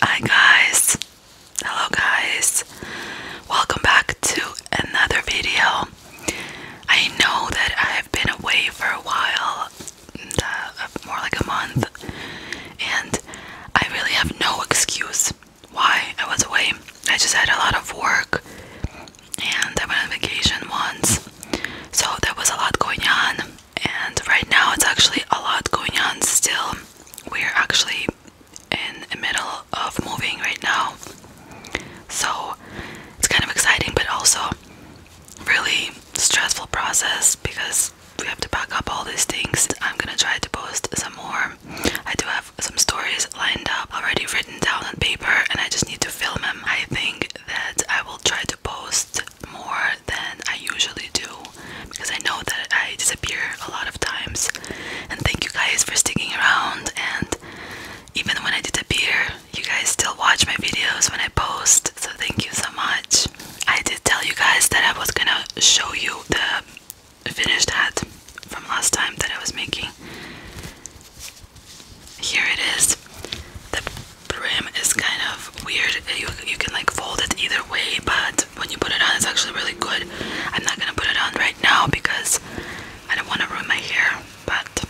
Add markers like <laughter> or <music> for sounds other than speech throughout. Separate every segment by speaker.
Speaker 1: Hi guys. Hello guys. Welcome back to another video. I know that I've been away for a while, uh, more like a month, and I really have no excuse why I was away. I just had a lot of work and I went on vacation once. So there was a lot going on and right now it's actually a lot going on still. We're actually in the middle of moving right now. So it's kind of exciting but also really stressful process because we have to pack up all these things. I'm gonna try to post some more I do have some stories lined up, already written down on paper, and I just need to film them. I think that I will try to post more than I usually do because I know that I disappear a lot of times. And thank you guys for sticking around. And even when I disappear, you guys still watch my videos when I post. So thank you so much. I did tell you guys that I was gonna show you the finished hat from last time that I was making. Here it is. The brim is kind of weird. You, you can like fold it either way, but when you put it on, it's actually really good. I'm not gonna put it on right now because I don't want to ruin my hair, but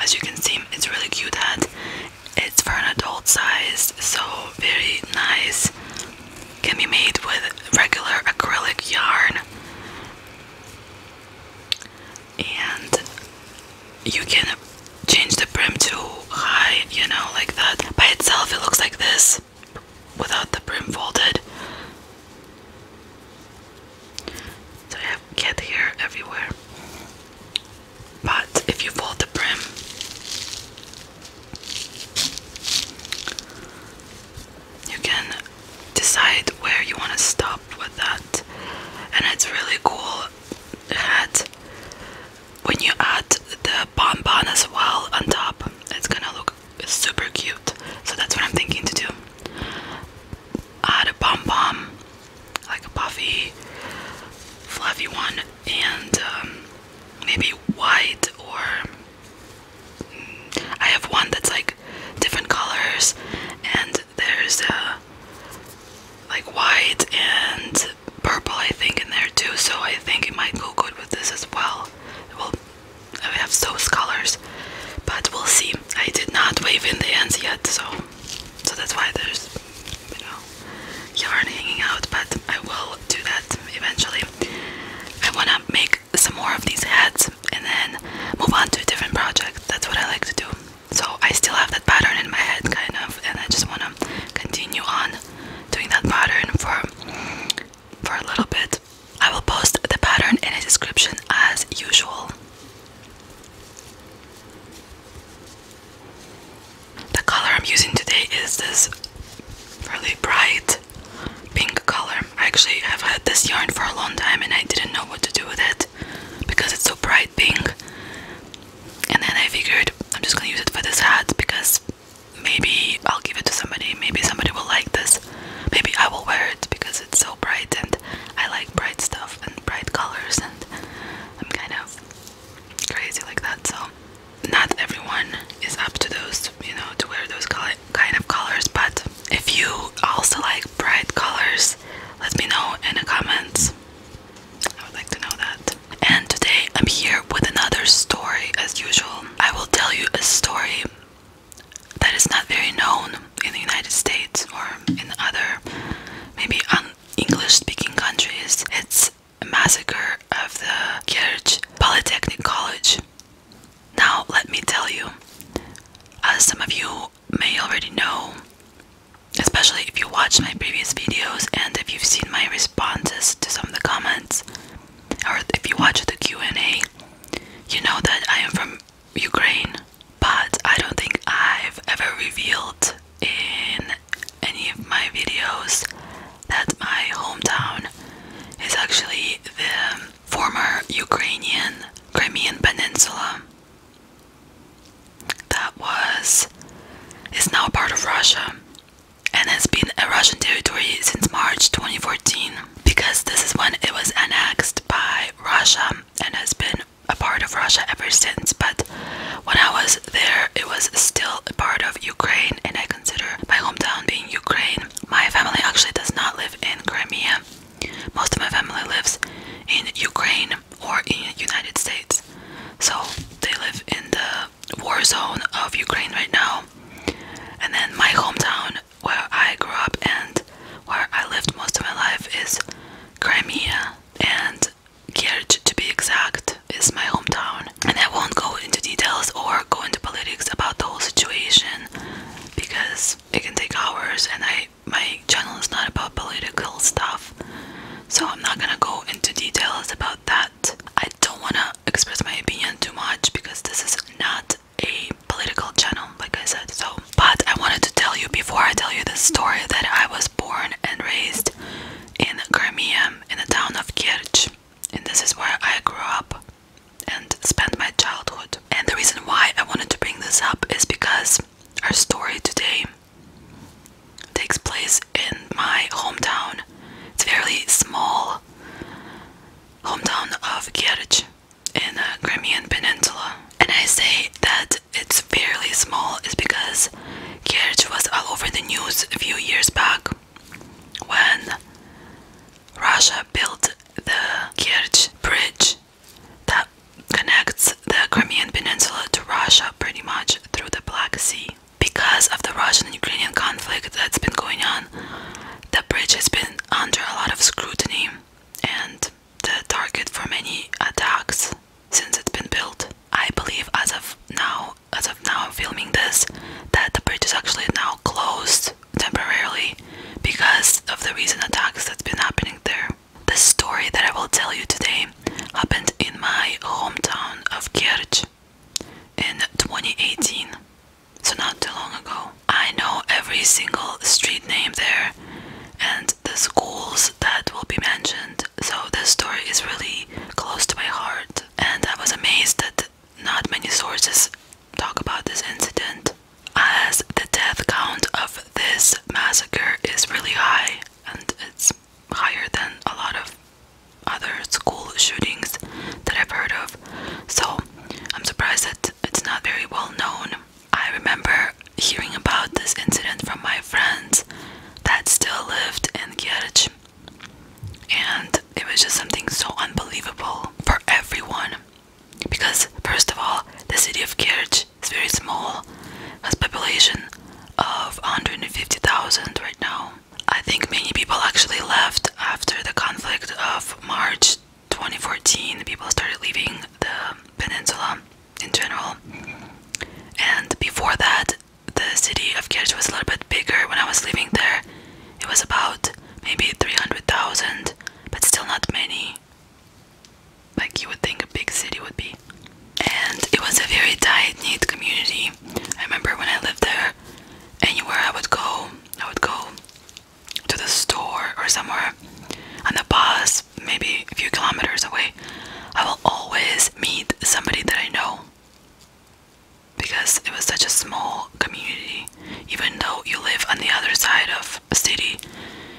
Speaker 1: as you can see, it's really cute hat. It's for an adult size, so very nice can be made with regular acrylic yarn and you can change the brim to high you know like that by itself it looks like this without the brim folded so I have cat hair everywhere but if you fold the brim you can decide where you want to stop with that, and it's really cool that when you add the bonbon as well on top, it's gonna look super cute. So that's what I'm thinking to do. Add a bonbon, like a puffy, fluffy one, and um, maybe white or I have one that's like different colors, and there's a uh, like white and purple, I think, in there too. So I think it might go good with this as well. Well, I have so many colors, but we'll see. I did not wave in the ends yet, so so that's why there's you know yarn hanging out. But I will do that eventually. I want to make some more of these hats and then move on to a different project. That's what I like to do. So I still have that pattern in my head, kind of, and I just want to continue on doing that pattern for for a little bit. I will post the pattern in a description as usual. The color I'm using today is this really bright pink color. I actually have had this yarn for a long time and I didn't know what to do with it because it's so bright pink. And then I figured I'm just gonna use it for this hat because maybe I'll give it to somebody, maybe somebody will like this. Maybe I will wear it because it's so bright and I like bright stuff and bright colors and I'm kind of crazy like that so not everyone is up to those, you know, to wear those kind of colors. But if you also like bright colors, let me know in the comments. I would like to know that. And today I'm here with another story, as usual. I will tell you a story that is not very known in the United States or in other, maybe un English-speaking countries. It's a massacre of the Kerch Polytechnic College now, let me tell you, as some of you may already know, especially if you watched my previous videos and if you've seen my responses to some of the comments, or if you watch the Q&A, you know that I am from Ukraine, but I don't think I've ever revealed in any of my videos that my hometown is actually the former Ukrainian Crimean Peninsula that was is now part of Russia and has been a Russian territory since March 2014 because this is when it was annexed by Russia and has been a part of Russia ever since but when I was there it was still a part of Ukraine and I consider my hometown being Ukraine. My family actually does not live in Crimea. Most of my family lives in Ukraine or in United States. So they live in the war zone of Ukraine right now. And then my hometown where I grew up and where I lived most of my life is Crimea and Kerch to be exact is my hometown and I won't go into details or go into politics about the whole situation because it can take hours and I my channel is not about political stuff. So I'm not gonna go into details about that. I don't wanna express my opinion too much because this is not a political channel, like I said. So but I wanted to tell you before I tell you this story that I was born and raised in Crimea in the town of Kerch and this is where I grew up and spent my childhood. And the reason why I wanted to bring this up is because our story today takes place in my hometown. It's a fairly small hometown of Kerch in the uh, Crimean Peninsula. And I say that it's fairly small is because Kerch was all over the news a few years back when Russia built the Kerch Bridge that connects the Crimean Peninsula to Russia pretty much through the Black Sea. Because of the Russian Ukrainian conflict that's been going on, the bridge has been under a lot of scrutiny and the target for many attacks since it's been built. I believe as of now as of now I'm filming this that the bridge is actually now closed temporarily because of the recent attacks that's been happening there. The story that I will tell you today happened in my hometown of Kerch in 2018, so not too long ago. I know every single street name there and the schools that will be mentioned, so this story is really close to my heart. And I was amazed that not many sources talk about this incident, as the death count of this massacre is really high and it's higher than a lot of other school shootings that I've heard of. So I'm surprised that it's not very well known. I remember hearing about this incident from my friends that still lived in Kierch and it was just something so unbelievable for everyone because first of all the city of Kerch is very small has population of 150,000 right now I think many people actually left after the conflict of March 2014 people started leaving the peninsula in general and before that the city of Kirch was a little bit bigger when I was living there. It was about maybe 300,000, but still not many. Like you would think a big city would be. And it was a very tight knit community. I remember when I lived there, anywhere I would go, I would go to the store or somewhere on the bus, maybe a few kilometers away. I will always meet somebody that I know because it was such a small community. Even though you live on the other side of a city,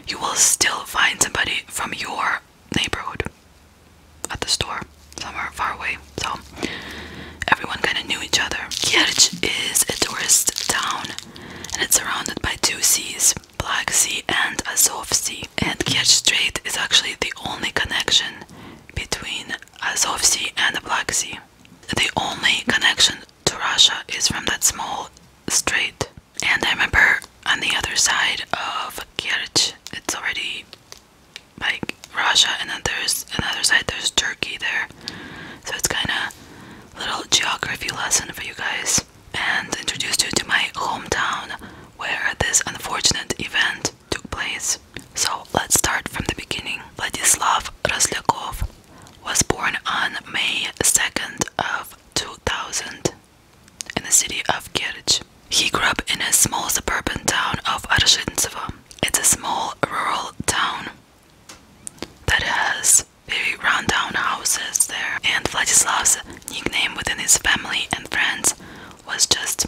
Speaker 1: you will still find somebody from your neighborhood at the store somewhere far away. So everyone kind of knew each other. Kirch is a tourist town and it's surrounded by two seas. Black Sea and Azov Sea, and Kerch Strait is actually the only connection between Azov Sea and the Black Sea. The only connection to Russia is from that small strait. And I remember on the other side of Kerch, it's already like Russia, and then there's another side, there's Turkey there. So it's kind of little geography lesson for you guys. And introduce you to my hometown where this unfortunate event took place. So let's start from the beginning. Vladislav Raslyakov was born on May 2nd of 2000 in the city of Kerch. He grew up in a small suburban town of Arzhintsevo. It's a small rural town that has very rundown houses there. And Vladislav's nickname within his family and friends was just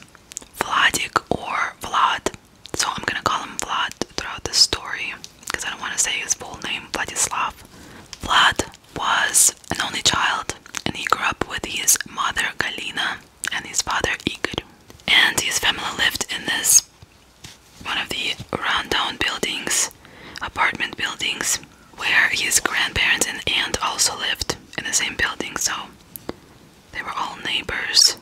Speaker 1: Vladik or Vlad. So I'm gonna call him Vlad throughout this story because I don't want to say his full name, Vladislav. Vlad was an only child and he grew up with his mother Galina and his father Igor. And his family lived in this one of the rundown buildings, apartment buildings, where his grandparents and aunt also lived in the same building, so they were all neighbors.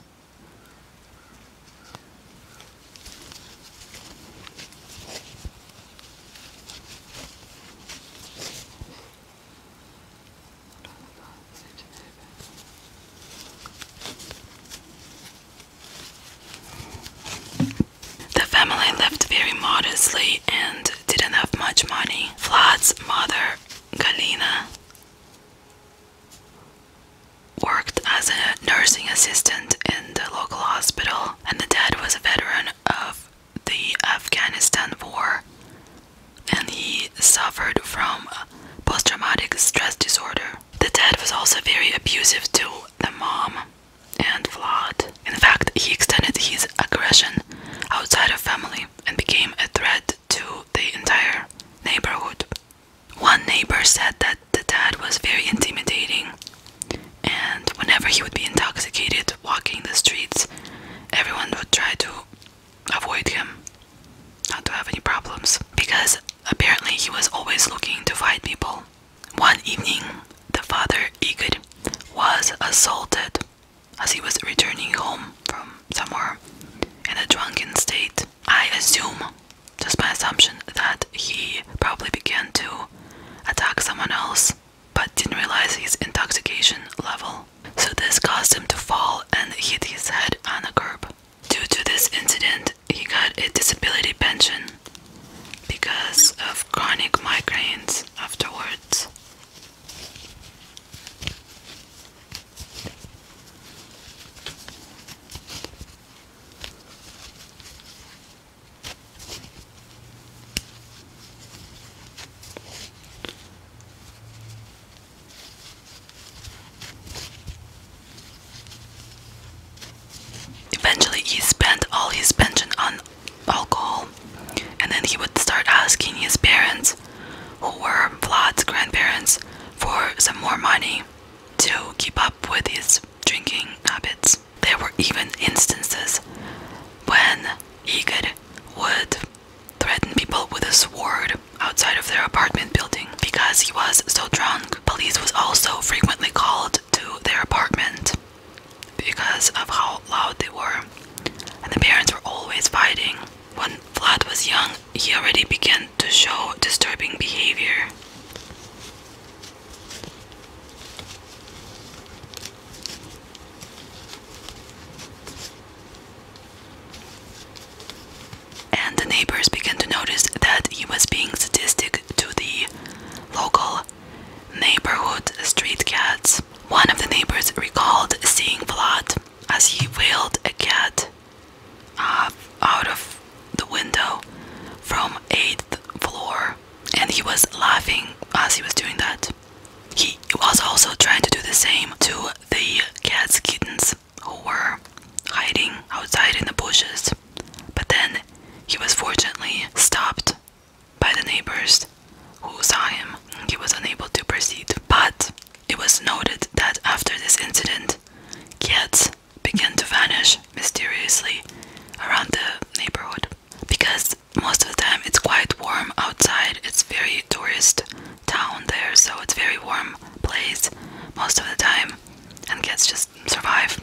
Speaker 1: The family lived very modestly and didn't have much money. Vlad's mother, Galina, worked as a nursing assistant in the local hospital, and the dad was a veteran of the Afghanistan war, and he suffered from post traumatic stress disorder. The dad was also very abusive to the mom and Vlad. In fact, he extended his aggression outside of family and became a threat to the entire neighborhood. One neighbor said that the dad was very intimidating, and whenever he would be intoxicated walking the streets, everyone would try to avoid him, not to have any problems, because apparently he was always looking to fight people. One evening, the father Igor was assaulted as he was returning home from somewhere in a drunken state. I assume, just my assumption, that he probably began to attack someone else but didn't realize his intoxication level. So this caused him to fall and hit his head on the curb. Due to this incident, he got a disability pension because of chronic migraines afterwards. Eventually, he spent all his pension on alcohol, and then he would start asking his parents who were Vlad's grandparents, for some more money to keep up with his drinking habits. There were even instances when Igor would threaten people with a sword outside of their apartment building because he was so drunk. Police was also frequently called to their apartment because of how loud they were. And the parents were always fighting. When Vlad was young, he already began to show disturbing behavior. And the neighbors began to notice that he was being sadistic to the local neighborhood street cats. One of the neighbors recalled seeing Vlad as he wheeled a cat uh, out of the window from eighth floor and he was laughing as he was doing that he was also trying to do the same to the cat's kittens who were hiding outside in the bushes but then he was fortunately stopped by the neighbors who saw him he was unable to proceed but it was noted that after this incident, cats began to vanish mysteriously around the neighborhood. Because most of the time it's quite warm outside, it's very tourist town there, so it's very warm place most of the time, and cats just survive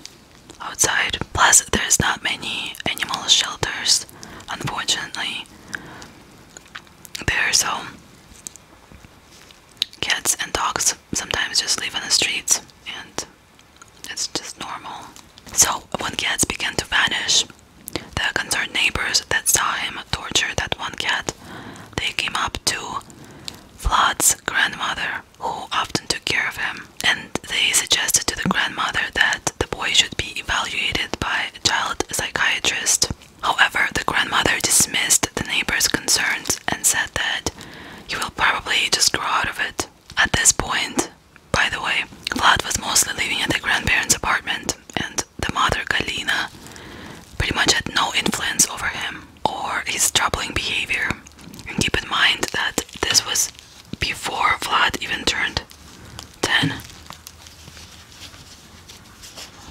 Speaker 1: outside. Plus, there's not many animal shelters, unfortunately there, so cats and dogs sometimes just live on the streets, and it's just normal. So, when cats began to vanish, the concerned neighbors that saw him torture that one cat, they came up to Vlad's grandmother, who often took care of him, and they suggested to the grandmother that the boy should be evaluated by a child psychiatrist. However, the grandmother dismissed the neighbor's concerns and said that you will probably just grow out of it. At this point, by the way, Vlad was mostly living at the grandparents' apartment, and the mother, Galina, pretty much had no influence over him or his troubling behavior. And keep in mind that this was before Vlad even turned 10.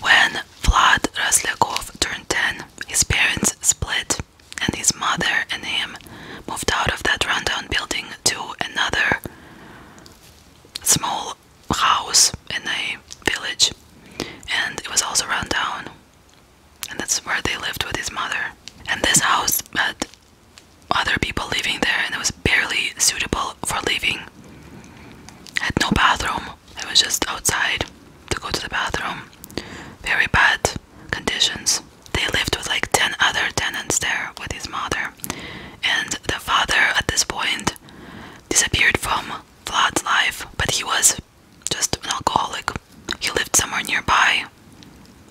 Speaker 1: When Vlad Raslyakov turned 10, his parents split, and his mother and him moved out of that rundown building to another small house in a village, and it was also rundown. And that's where they lived with his mother. And this house had other people living there, and it was barely suitable for living. Had no bathroom, it was just outside to go to the bathroom. Very bad conditions. They lived with like 10 other tenants there with his mother. And the father at this point disappeared from Vlad's life, but he was just an alcoholic. He lived somewhere nearby,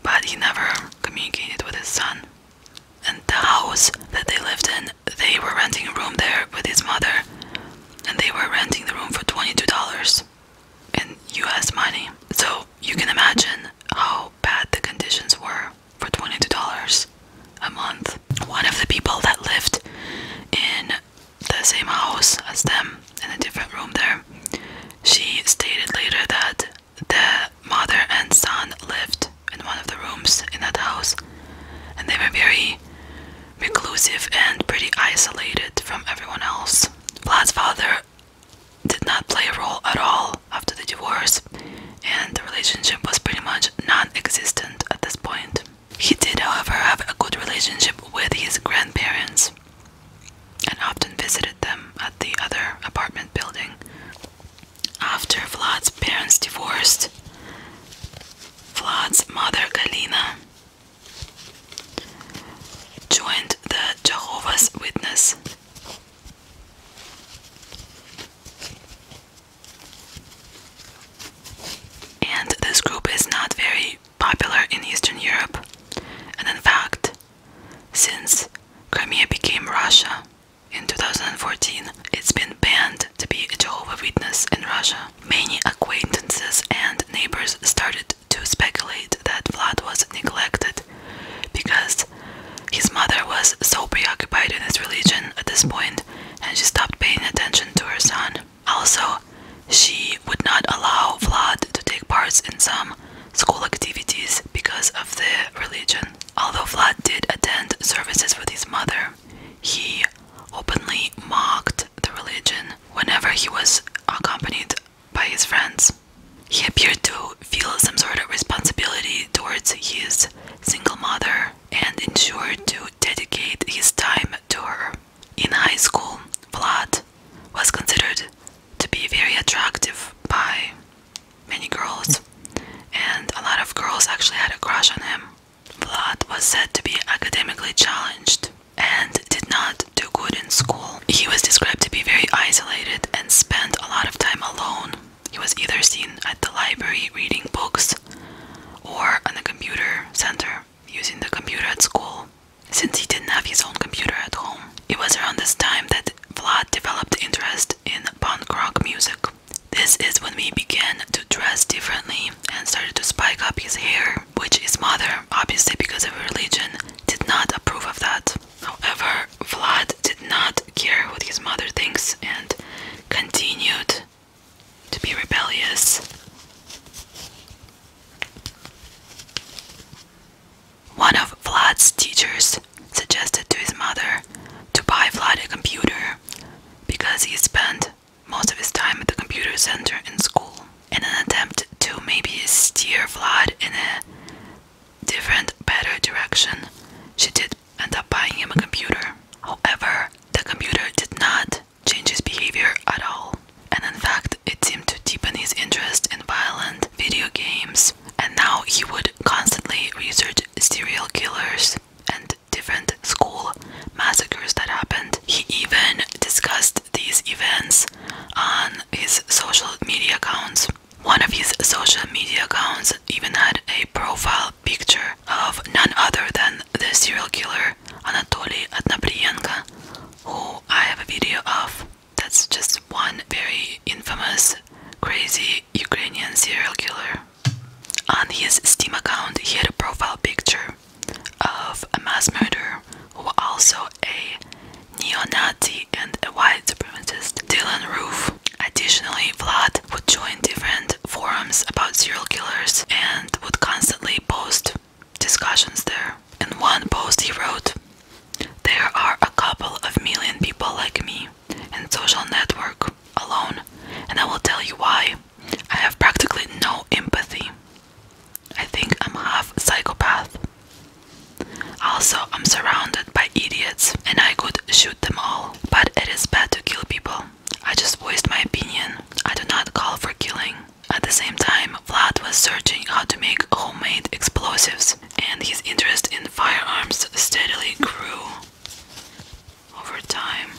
Speaker 1: but he never communicated with his son. And the house that they lived in they were renting a room there with his mother, and they were renting the room for $22 in US money. So you can imagine how bad the conditions were for $22 a month. One of the people that lived in the same house as them in a different room there, she stated later that the mother and son lived in one of the rooms in that house and they were very reclusive and pretty isolated from everyone else. Vlad's father did not play a role at all after the divorce, and the relationship was pretty much non existent at this point. He did, however, have a good relationship with his grandparents and often visited them at the other apartment building. After Vlad's parents divorced, Vlad's mother Galina joined the Jehovah's Witness. And this group is not very popular in Eastern Europe, and in fact, since Crimea became Russia in 2014, it's been banned to be a Jehovah Witness in Russia. Many acquaintances and neighbors started to speculate that Vlad was neglected because his mother was so preoccupied in his religion at this point and she stopped paying attention to her son. Also, she would not allow Vlad to take part in some school activities because of the religion. Although Vlad did attend services with his mother, he openly mocked the religion whenever he was accompanied by his friends. He appeared to feel some sort of responsibility towards his single mother and ensured to dedicate his time to her. In high school, Vlad was considered to be very attractive by many girls, and a lot of girls actually had a crush on him. Vlad was said to be academically challenged and did not do good in school. He was described to be very isolated and spent a lot of time alone. He was either seen at the library reading books or in the computer center using the computer at school since he didn't have his own computer at home. It was around this time that Vlad developed interest in punk rock music. This is when we began to dress differently and started to spike up his hair, which his mother, obviously because of religion, did not approve of that. However, Vlad did not care what his mother thinks and continued to be rebellious. One of Vlad's teachers suggested to his mother to buy Vlad a computer because he spent most of his time at the computer center in school in an attempt to maybe steer Vlad in a different, better direction. She did end up buying him a computer. However, the computer did not change his behavior at all, and in fact, it seemed to deepen his interest in violent video games. And now he would constantly research serial killers and different school massacres that happened. He even discussed these events on his social media accounts. One of his social media accounts even had a profile picture of none other than the serial killer Anatoly Atnaprienko, who I have a video of. That's just one very infamous, crazy Ukrainian serial killer. On his Steam account, he had a profile picture of a mass murderer who was also a neo-Nazi and a white supremacist, Dylan Roof. Additionally, Vlad would join different forums about serial killers and would constantly post discussions there. In one post, he wrote, There are a couple of million people like me, In social network alone, and I will tell you why. I have practically no empathy. I think I'm half psychopath. Also, I'm surrounded by idiots and I could shoot them all, but it is bad to kill people. I just voiced my opinion. I do not call for killing. At the same time, Vlad was searching how to make homemade explosives, and his interest in firearms steadily grew over time.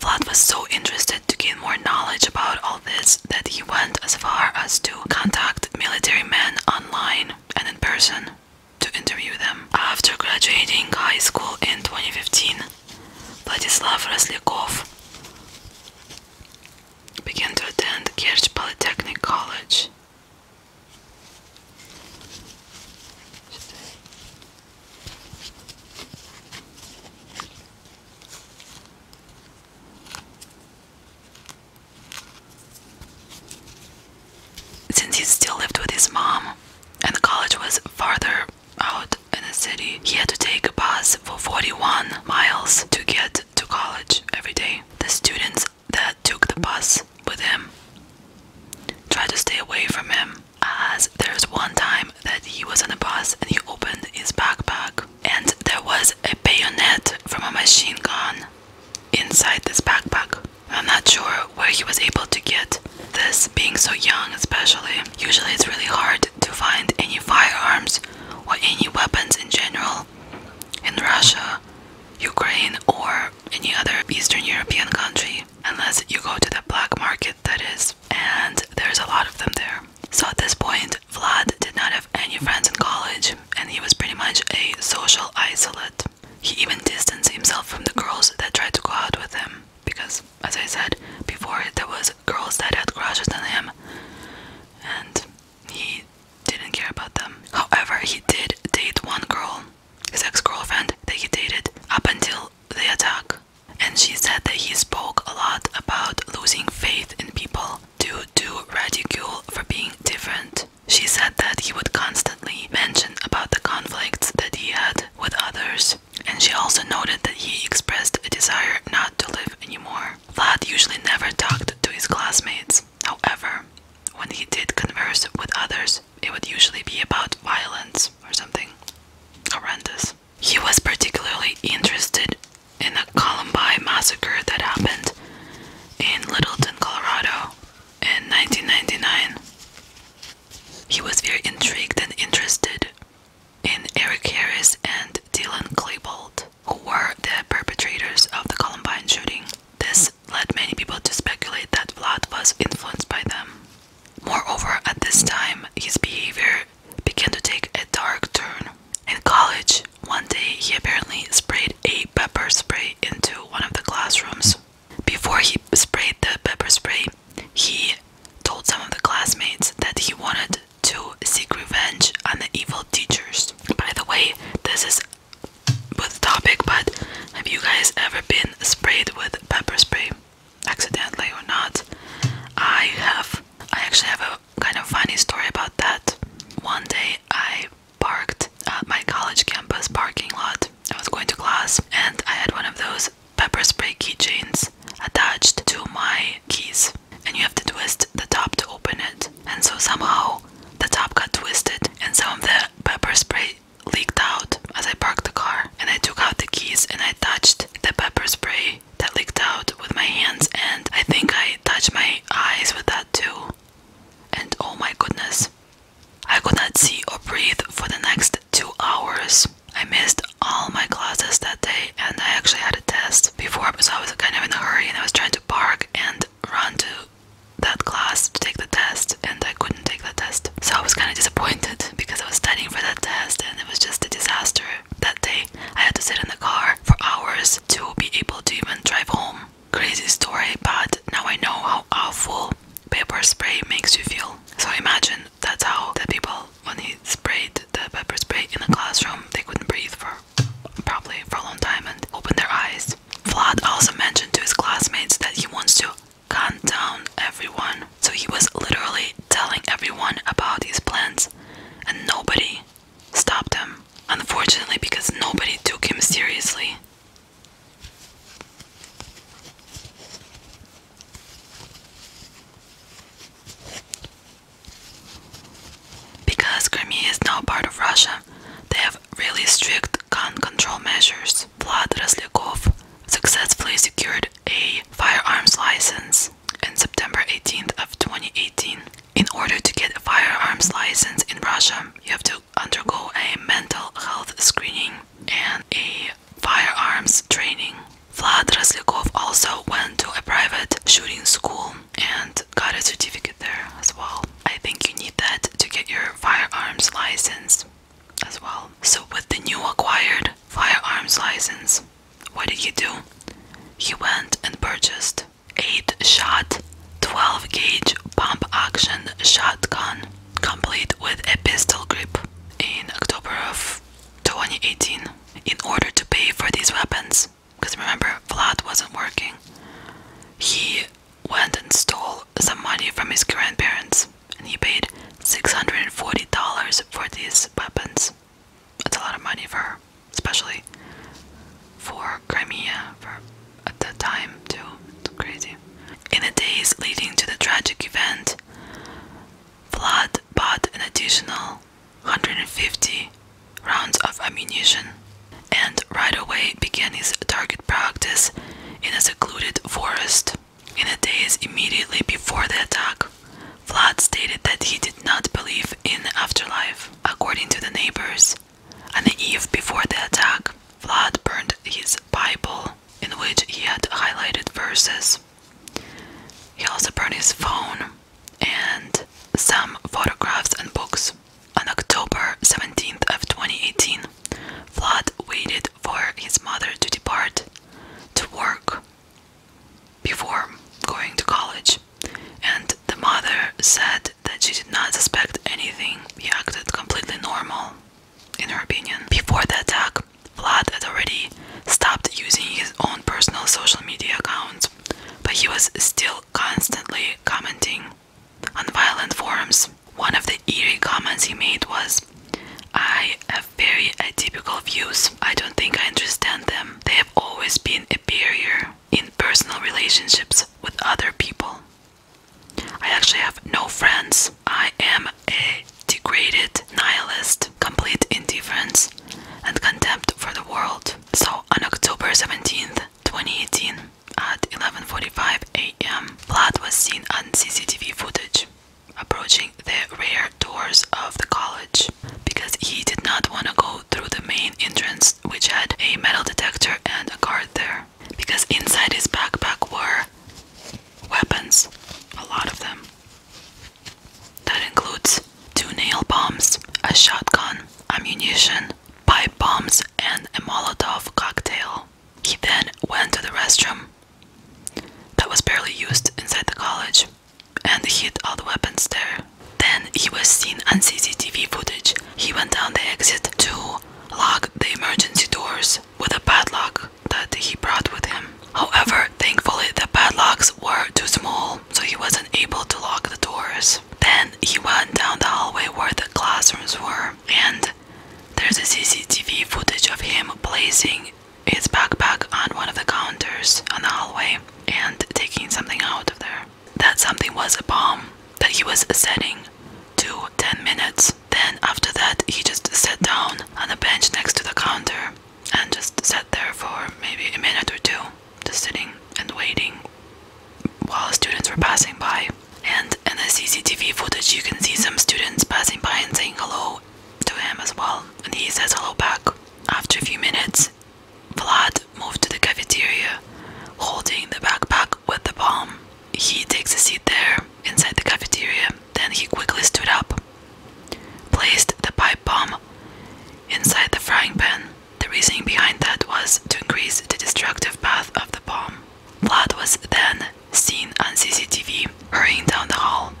Speaker 1: Vlad was so interested to gain more knowledge about all this that he went as far as to contact military men online and in person to interview them. After graduating high school in 2015, Vladislav Raslikov began to attend Kirch Polytechnic College. Since he still lived with his mom and the college was farther out, in the city. He had to take a bus for 41 miles to get to college every day. The students that took the bus with him tried to stay away from him. As there was one time that he was on a bus and he opened his backpack, and there was a bayonet from a machine gun inside this backpack. I'm not sure where he was able to get this, being so young, especially. Usually, it's really hard to find any firearms or any weapons in general in Russia, Ukraine, or any other Eastern European country unless you go to the black market, that is, and there's a lot of them there. So at this point, Vlad did not have any friends in college, and he was pretty much a social isolate. He even distanced himself from the girls that tried to go out with him because, as I said before, there was girls that had crushes on him, and he didn't care about them. However, he did date one girl, his ex girlfriend, that he dated up until the attack. And she said that he spoke a lot about losing faith in people due to ridicule for being different. She said that he would constantly mention about the conflicts that he had with others, and she also noted that he expressed a desire not to live anymore. Vlad usually never talked to his classmates. However, when he did converse with others, it would usually be about violence or something horrendous. He was particularly interested in the Columbine massacre that happened in Littleton, Colorado in 1999. He was very intrigued and interested in Eric Harris and Dylan Klebold, who were the perpetrators of the Columbine shooting. This led many people to speculate that Vlad was influenced by them. Moreover, at this time, his behavior began to take a dark turn. In college, one day he apparently sprayed a pepper spray into one of the classrooms. Before he sprayed the pepper spray, he told some of the classmates that he wanted to seek revenge on the evil teachers. By the way, this is with topic, but have you guys ever been sprayed with pepper spray, accidentally or not? I have. I actually have a kind of funny story about that. One day I parked at my college campus parking lot. I was going to class and I had one of those pepper spray keychains attached to my keys and you have to twist the top to open it and so somehow the top got twisted and some of the pepper spray leaked out as I parked the car and I took out the keys and I touched the pepper spray that leaked out with my hands and I think I touched my eyes with that too and oh my goodness I could not see or breathe for the next two hours. I missed all my classes that day, and I actually had a test before because I was kind of in a hurry and I was trying to park and run to that class to take the test, and I couldn't take the test. So I was kind of disappointed <laughs> because I was studying for that test, and it was just a disaster that day. I had to sit in the car for hours to be able to even drive home. Crazy story, but now I know how awful pepper spray makes you feel. So imagine that's how the people when he sprayed the pepper spray in the classroom, they couldn't breathe for probably for a long time and opened their eyes. Vlad also mentioned to his classmates that he wants to calm down everyone. So he was literally telling everyone about his plans and nobody stopped him. Unfortunately, because nobody took him seriously. Because Crimea is now part of Russia, they have really strict gun control measures. Vlad Raslyakov successfully secured a firearms license on September 18th of 2018. In order to get a firearms license in Russia, you have to undergo a mental health screening and a firearms training. Vlad Raslikov also went to a private shooting school and got a certificate there as well. I think you need that to get your firearms license as well. So, with the new acquired firearms license, what did he do? He went and purchased 8 shot 12 gauge pump action shotgun, complete with a pistol grip, in October of 2018 in order to pay for these weapons. Because remember, Vlad wasn't working. He went and stole some money from his grandparents and he paid $640 for these weapons. That's a lot of money for especially for Crimea for at the time too. It's crazy. In the days leading to the tragic event, Vlad bought an additional 150 rounds of ammunition and right away began his target practice in a secluded forest. In the days immediately before the attack, Vlad stated that he did not believe in afterlife. According to the neighbors, on the eve before the attack, Vlad burned his Bible, in which he had highlighted verses he also brought his phone and some photographs and books. On October 17th of 2018, Vlad waited for his mother to depart to work before going to college, and the mother said that she did not suspect anything. He acted completely normal, in her opinion. Before the attack, Vlad had already stopped using his own personal social media accounts, but he was still constantly commenting on violent forums. One of the eerie comments he made was, I have very atypical views. I don't think I understand them. They have always been a barrier in personal relationships with other people. I actually have no friends. I am a degraded nihilist, complete indifference, and contempt for the world. So on October 17th, 2018, at 11:45 a.m., blood was seen on CCTV footage approaching the rear doors of the college because he did not want to go through the main entrance, which had a metal detector and a guard there. Because inside his backpack were weapons, a lot of them. That includes two nail bombs, a shotgun, ammunition, pipe bombs, and a Molotov cocktail. He then went to the restroom that was barely used inside the college and hid all the weapons there. Then he was seen on CCTV footage. He went down the exit to lock the emergency doors with a padlock that he brought with him. However, Thankfully, the padlocks were too small, so he wasn't able to lock the doors. Then he went down the hallway where the classrooms were, and there's a CCTV footage of him placing his backpack on one of the counters on the hallway and taking something out of there. That something was a bomb that he was setting to 10 minutes. Then, after that, he just sat down on a bench next to the counter and just sat there for maybe a minute or two, just sitting and waiting while students were passing by. And in the CCTV footage, you can see some students passing by and saying hello to him as well, and he says hello back. After a few minutes, Vlad moved to the cafeteria holding the backpack with the bomb. He takes a seat there inside the cafeteria then he quickly stood up, placed the pipe bomb inside the frying pan. The reasoning behind that was to increase the destructive path of the bomb. Vlad was then seen on CCTV hurrying down the hall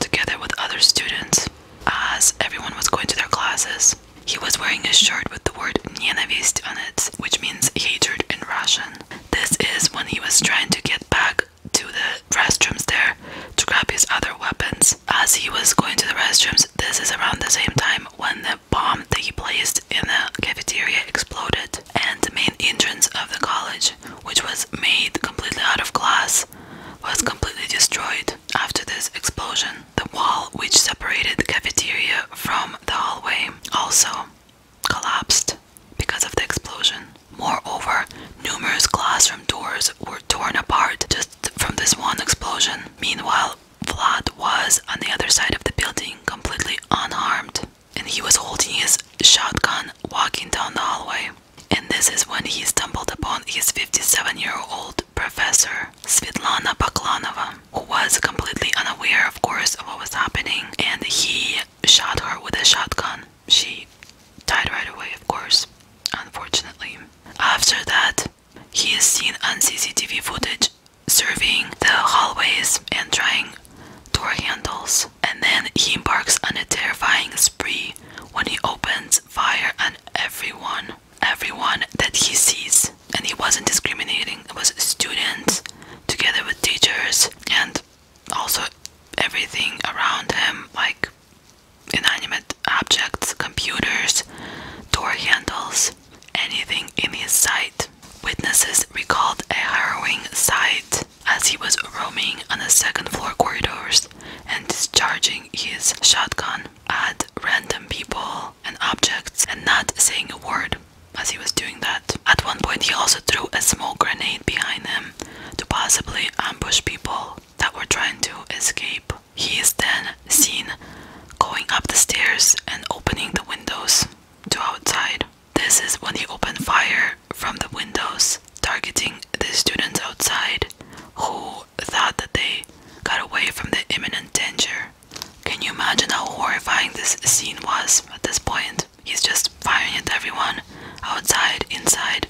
Speaker 1: together with other students as everyone was going to their classes. He was wearing a shirt with the word Nenavist on it, which means hatred in Russian. This is when he was trying to get back to the restrooms there to grab his other weapons. As he was going to the restrooms, this is around the same time when the bomb that he placed in the cafeteria exploded, and the main entrance of the college, which was made completely out of glass, was completely destroyed. After this explosion, the wall which separated the cafeteria from the hallway also collapsed because of the explosion. Moreover, numerous classroom doors were torn apart just from this one explosion. Meanwhile, Vlad was on the other side of the building, completely unharmed, and he was holding his shotgun walking down the hallway. And this is when he stumbled upon his 57 year old professor, Svitlana Baklanova, who was completely unaware, of course, of what was happening, and he shot her with a shotgun she died right away, of course, unfortunately. After that, he is seen on CCTV footage surveying the hallways and trying door handles, and then he embarks on a terrifying spree when he opens fire on everyone, everyone that he sees. And he wasn't discriminating, it was students together with teachers and also everything around him, like inanimate objects, computers, door handles, anything in his sight. Witnesses recalled a harrowing sight as he was roaming on the second floor corridors and discharging his shotgun at random people and objects and not saying a word as he was doing that. At one point, he also threw a smoke grenade behind him to possibly ambush people that were trying to escape. He is then seen going up the stairs and opening the windows to outside. This is when he opened fire from the windows, targeting the students outside who thought that they got away from the imminent danger. Can you imagine how horrifying this scene was at this point? He's just firing at everyone outside, inside.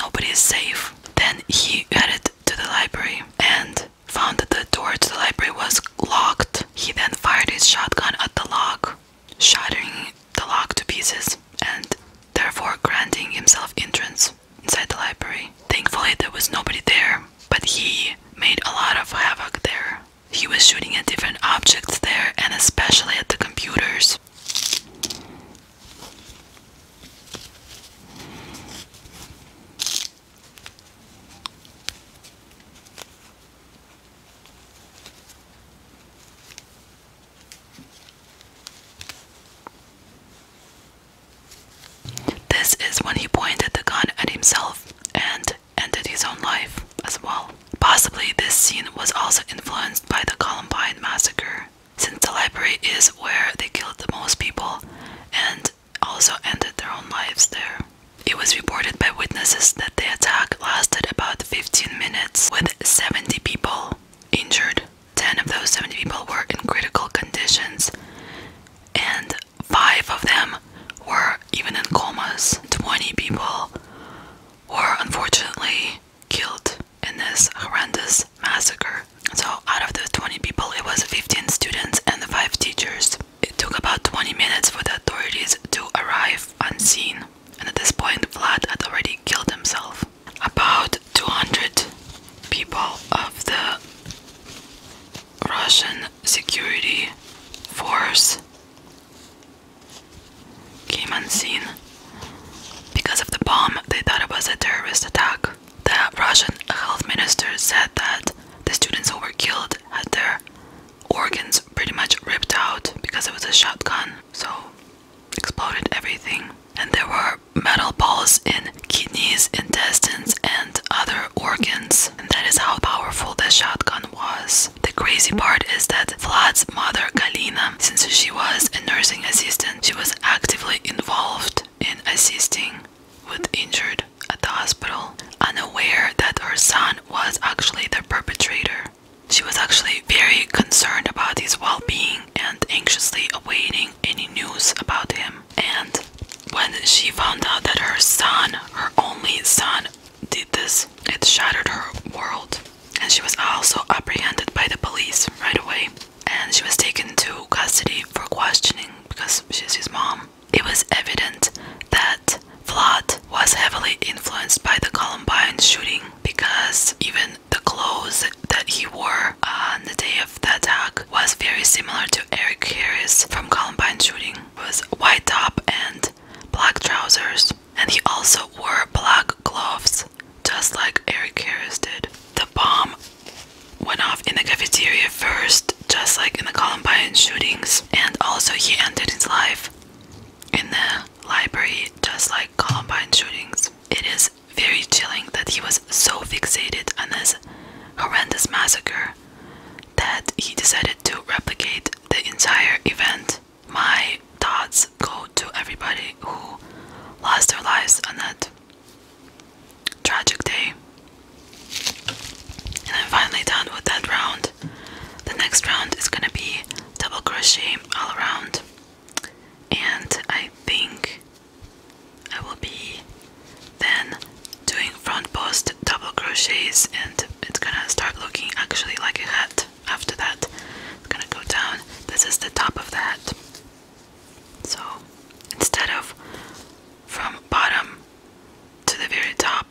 Speaker 1: Nobody is safe. Then he headed to the library and found that the door to the library was locked. He then fired his shotgun at the lock, shattering the lock to pieces and therefore granting himself entrance inside the library. Thankfully, there was nobody there, but he made a lot of havoc there. He was shooting at different objects there and especially at the computers this. is when he pointed the gun at himself and ended his own life as well. Possibly this scene was also influenced by the Columbine massacre, since the library is where they killed the most people and also ended their own lives there. It was reported by witnesses that the attack lasted about 15 minutes with 70 people injured. 10 of those 70 people were in critical conditions and 5 of them were even in comas. 20 people were unfortunately killed in this horrendous massacre. So, out of the 20 people, it was 15 students and the 5 teachers. It took about 20 minutes for the authorities to arrive unseen, and at this point, Vlad had already killed himself. About 200 people of the Russian security force came unseen. Because of the bomb, they thought it was a terrorist attack. The Russian health minister said that the students who were killed had their organs pretty much ripped out because it was a shotgun. So, exploded everything. And there were metal balls in kidneys, intestines, and other organs. And that is how powerful the shotgun was. The crazy part is that Vlad's mother Galina, since she was a nursing assistant, she was actively involved in assisting with injured at the hospital, unaware that her son was actually the perpetrator. She was actually very concerned about his well being and anxiously awaiting any news about him. And when she found out that her son, her only son, did this, it shattered her world and she was also apprehended by the police right away and she was taken to custody for questioning because she's his mom. It was evident that Vlad was heavily influenced by the Columbine shooting because even the clothes that he wore on the day of the attack was very similar to Eric Harris from Columbine shooting. It was white top and black trousers and he also wore black gloves, just like Eric Harris did. The bomb went off in the cafeteria first, just like in the Columbine shootings, and also he ended his life in the library, just like Columbine shootings. It is very chilling that he was so fixated on this horrendous massacre that he decided to replicate the entire event my thoughts go to everybody who lost their lives on that tragic day. And I'm finally done with that round. The next round is gonna be double crochet all around, and I think I will be then doing front post double crochets, and it's gonna start looking actually like a hat after that. It's gonna go down. This is the top of the So instead of from bottom to the very top,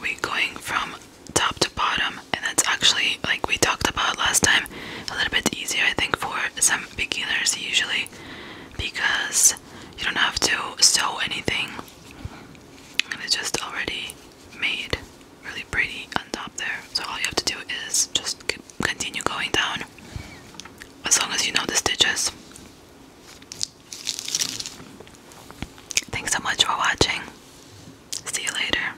Speaker 1: we're going from top to bottom, and that's actually like we talked about last time, a little bit easier I think for some beginners usually because you don't have to sew anything and it's just already made really pretty on top there. So all you have to do is just continue going down as long as you know the stitches. Thanks so much for watching. See you later.